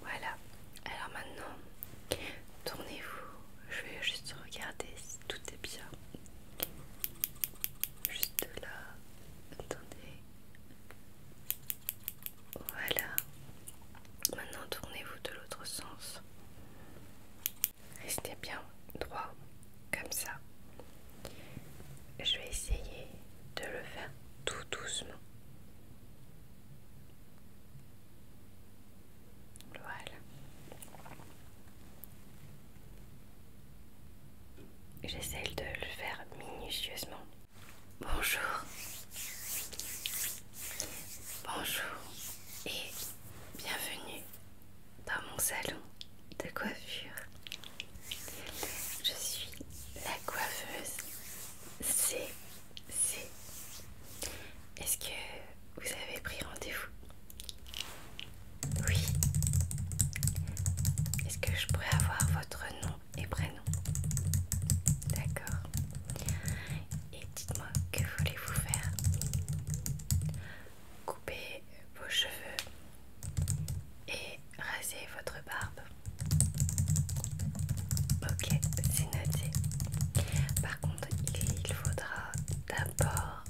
Voilà, alors maintenant, tournez-vous. Je vais juste regarder si tout est bien. Juste là, attendez. Voilà. Maintenant, tournez-vous de l'autre sens. Restez bien droit, comme ça. Je vais essayer de le faire tout doucement. Voilà. J'essaie de le faire minutieusement. Bonjour. Bonjour et bienvenue dans mon salon de coiffure. Je suis la coiffeuse C. C. Est-ce que vous avez pris rendez-vous Oui. Est-ce que je pourrais avoir votre nom et prénom D'accord. Et dites-moi, que voulez-vous faire Couper vos cheveux et raser votre barbe. Ok, c'est noté. Par contre, il faudra d'abord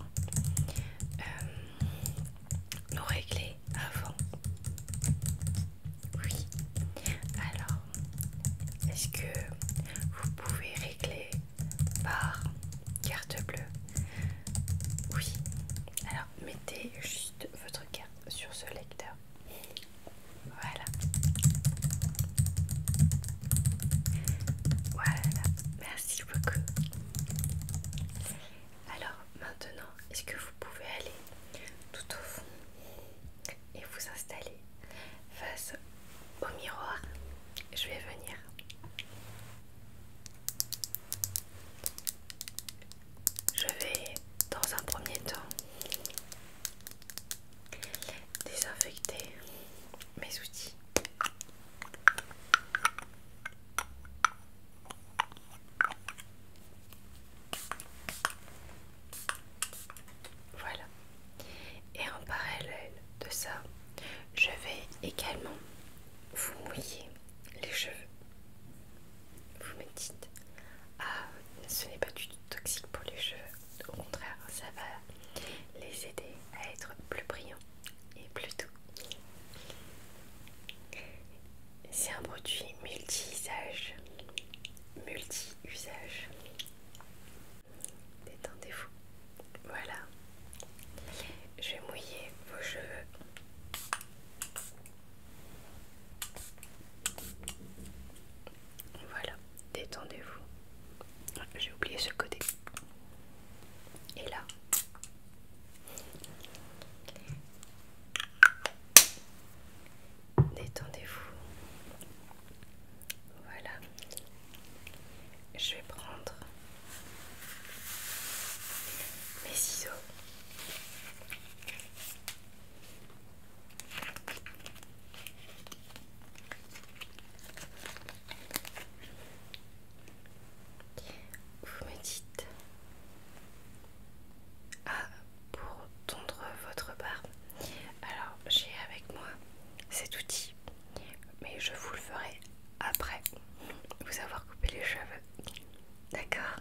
euh, nous régler avant. Oui. Alors, est-ce que vous pouvez régler par carte bleue Oui. Alors, mettez juste votre carte sur ce lecteur. Voilà. Voilà. Merci beaucoup. Alors maintenant, est-ce que vous pouvez aller tout au fond et vous installer face au miroir Je vais venir je vais dans un premier temps désinfecter mes outils. Voilà. Et en parallèle de ça, je vais également vous mouiller les cheveux. Vous me dites, ah, ce n'est pas du tout toxique pour les cheveux. Au contraire, ça va les aider à être plus brillants et plus doux. C'est un produit multi-usage. Multi-usage. Détendez-vous. Voilà. Je vais mouiller vos cheveux. Voilà, détendez-vous. J'ai oublié ce côté. Et là. Détendez-vous. Voilà. Je vais prendre mes ciseaux. Vous me dites Ah pour tondre votre barbe Alors j'ai avec moi cet outil mais je vous le ferai après vous avoir coupé les cheveux D'accord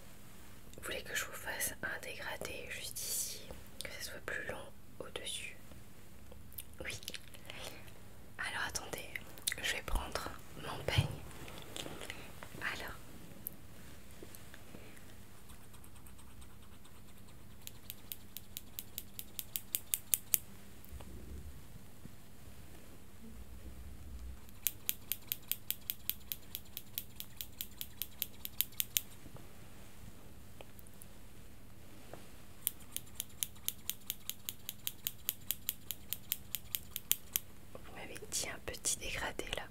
vous voulez que je vous fasse un dégradé juste ici, que ce soit plus long au-dessus Oui. Alors attendez, je vais prendre mon peigne. Alors. Vous m'avez dit un petit dégradé là.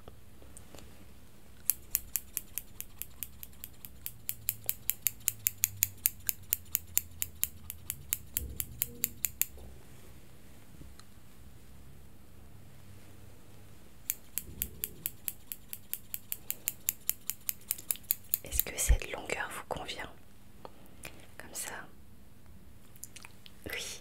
Est-ce que cette longueur vous convient Comme ça Oui.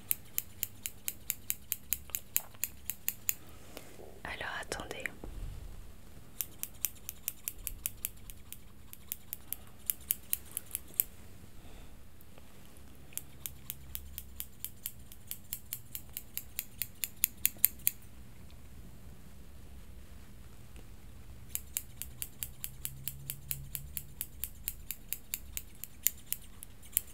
Alors attendez.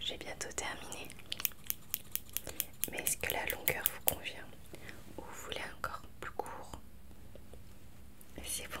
J'ai bientôt terminé mais est-ce que la longueur vous convient ou vous voulez encore plus court C'est bon.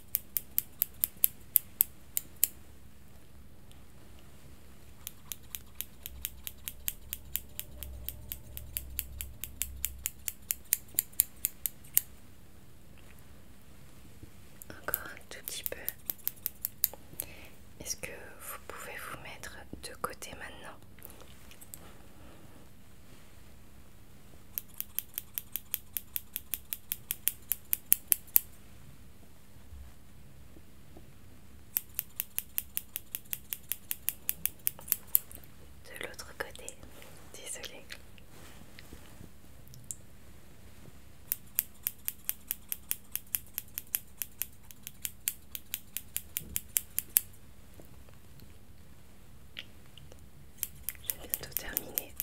Encore un tout petit peu. Est-ce que vous pouvez vous mettre de côté maintenant de l'autre côté, désolé. J'ai bientôt terminé.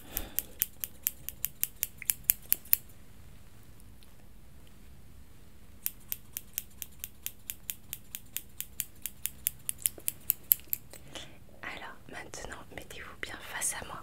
Alors maintenant, mettez-vous bien face à moi.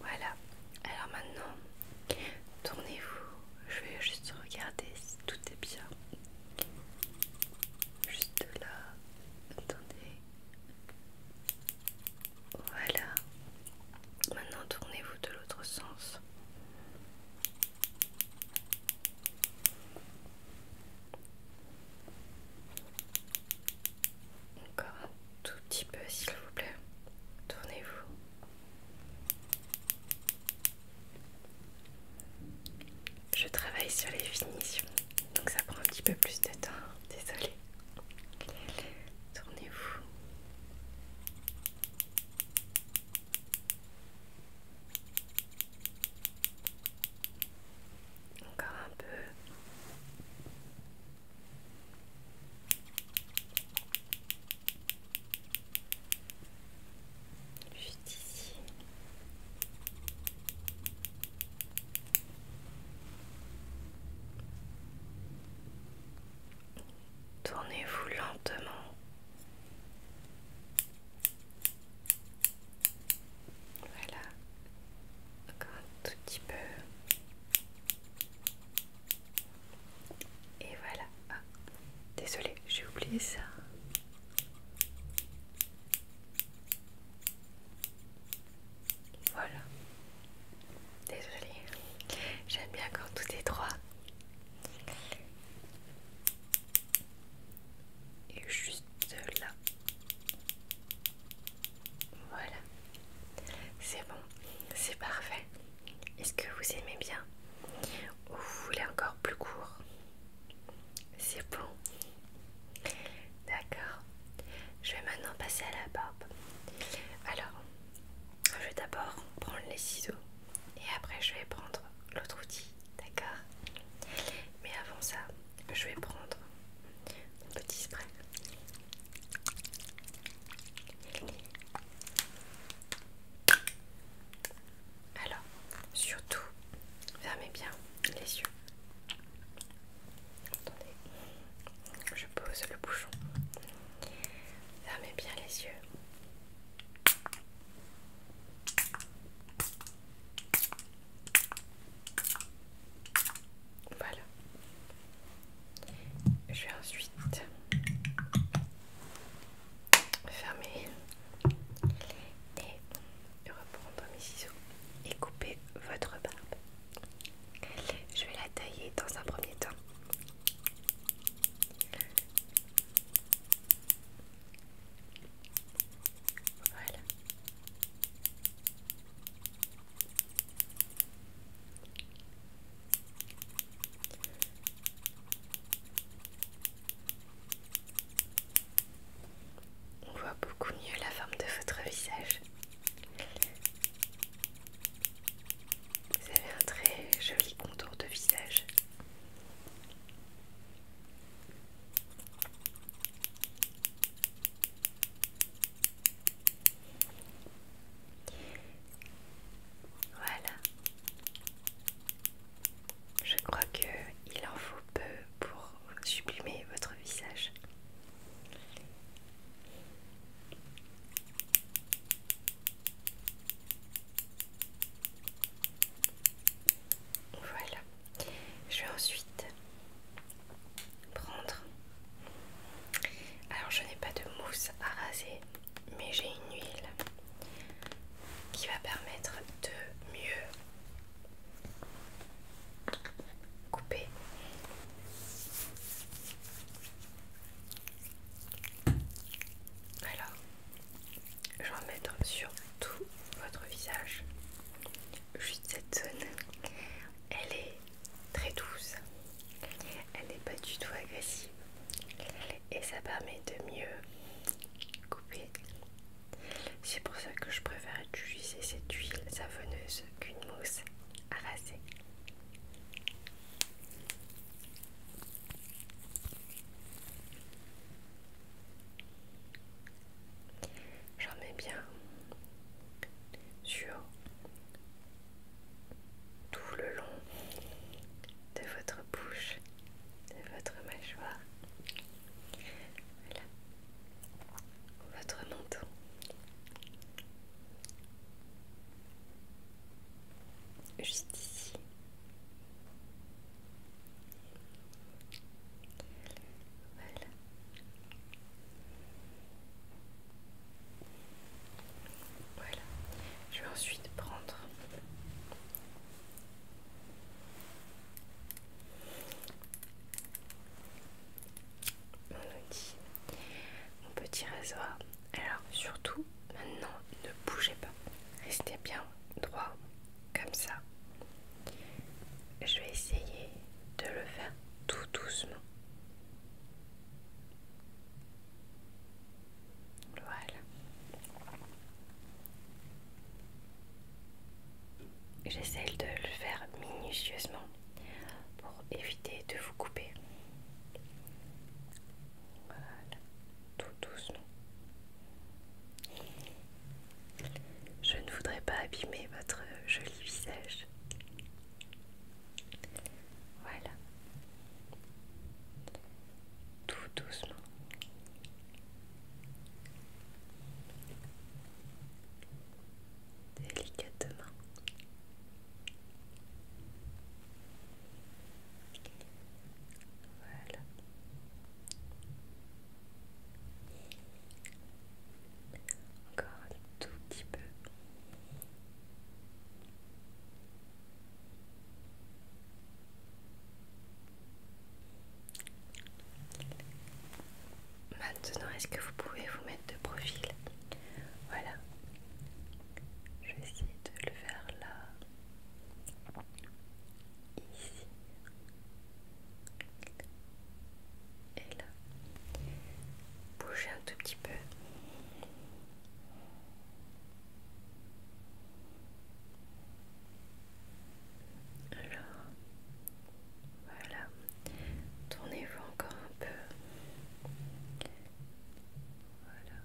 Voilà, alors maintenant, tournez-vous. Je vais juste regarder si tout est bien. Juste là, attendez. Voilà. Maintenant, tournez-vous de l'autre sens. Encore un tout petit peu, s'il vous plaît. Tournez-vous. Je travaille sur les finitions, donc ça prend un petit peu plus de temps. Désolée. Tournez-vous. Encore un peu. Juste ici. Tournez-vous lentement voilà, encore un tout petit peu. Et voilà. Ah, j'ai oublié ça. Voilà. désolé J'aime bien quand tout est droit et juste là. Voilà, c'est bon, c'est parfait. Est-ce que vous aimez bien ou vous voulez encore plus court C'est bon. D'accord. Je vais maintenant passer à la barbe. Alors, je vais d'abord prendre les ciseaux et après je vais prendre l'autre outil, d'accord Mais avant ça, je vais prendre mon petit spray. Alors, surtout, fermez bien les yeux. Attendez, je pose le bouchon. Fermez bien les yeux. Voilà. Je vais ensuite fermer et reprendre mes ciseaux et couper votre barbe. Je vais la tailler dans un premier temps on voit beaucoup mieux la forme de votre visage. Vous avez un très joli contour de visage. Voilà. Je crois que il en faut peu pour sublimer votre visage. Voilà. Je vais ensuite prendre. Alors je n'ai pas de mousse à raser, mais j'ai une huile qui va permettre de mieux couper alors, je vais en mettre sur tout votre visage. Juste cette zone, elle est très douce, elle n'est pas du tout agressive et ça permet de mieux couper. C'est pour ça que je préfère utiliser cette huile savonneuse qu'une mousse à raser. J'en mets bien sur tout le long de votre bouche, de votre mâchoire, votre menton juste ici. Voilà. Voilà. Je vais ensuite prendre mon petit réseau Alors surtout, Maintenant, ne bougez pas. Restez bien droit, comme ça. Je vais essayer de le faire tout doucement. Voilà. J'essaie de le faire minutieusement pour éviter de vous couper. Voilà tout doucement. Je ne voudrais pas abîmer votre joli visage. Voilà. Tout doucement. Délicatement. Voilà. Encore un tout petit peu. Maintenant, est-ce que vous pouvez vous mettre de profil Voilà. Je vais essayer de le faire là ici et là. Bougez un tout petit peu. Alors, voilà. Tournez-vous encore un peu. Voilà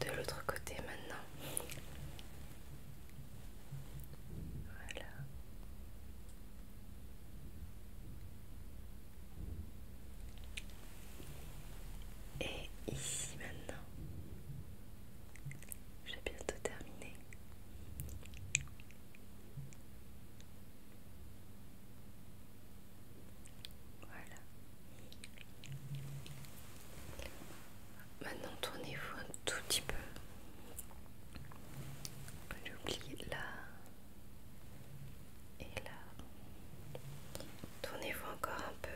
de l'autre côté maintenant. Voilà. Et ici maintenant. J'ai bientôt terminé. Voilà. Maintenant tournez-vous un tout petit peu. J'ai là et là. Tournez-vous encore un peu.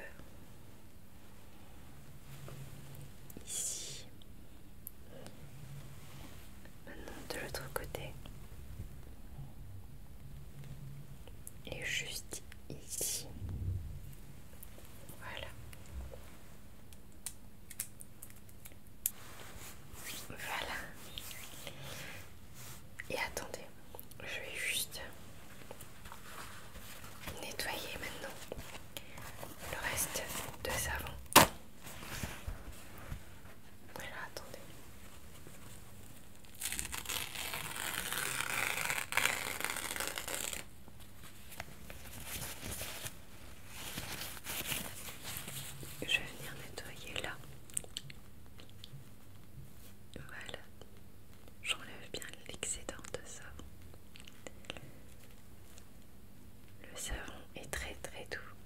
Ici. Maintenant de l'autre côté. Et juste ici. Voilà. Voilà. Et attendez, je vais juste nettoyer maintenant le reste de savon attendez. Je vais venir nettoyer là. Voilà. J'enlève bien l'excédent de savon. Le savon est très très doux.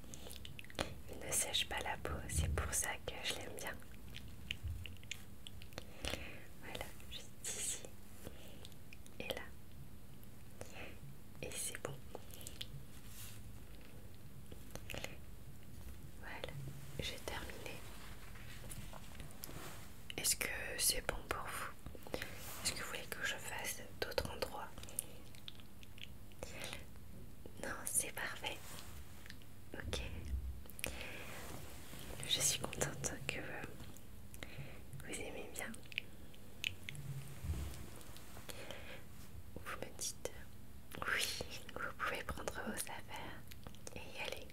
Il ne sèche pas la peau, c'est pour ça que je l'aime bien. Voilà, juste ici et là. Et c'est bon. Voilà, j'ai terminé. Est-ce que c'est bon pour vous Est-ce que vous voulez que je fasse d'autres endroits non, c'est parfait. Ok. Je suis contente que vous aimez bien. Vous me dites oui, vous pouvez prendre vos affaires et y aller.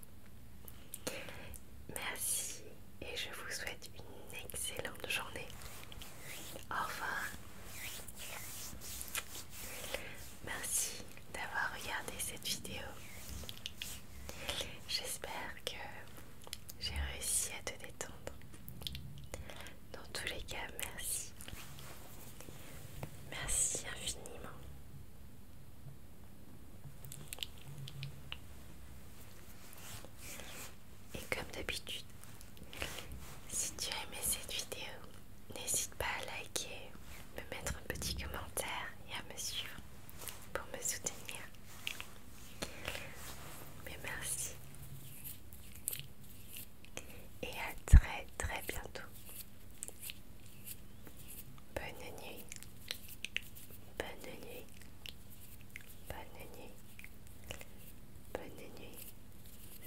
Merci et je vous souhaite une excellente journée. Au revoir. Merci d'avoir regardé cette vidéo. J'espère que j'ai réussi à te détendre. Dans tous les cas, merci. Merci infiniment. Et comme d'habitude, si tu as aimé cette vidéo, n'hésite pas à liker, me mettre un petit commentaire et à me suivre pour me soutenir. Mais merci. Et à très très bientôt. Bonne nuit. Bonne nuit. Bonne nuit. Bonne nuit.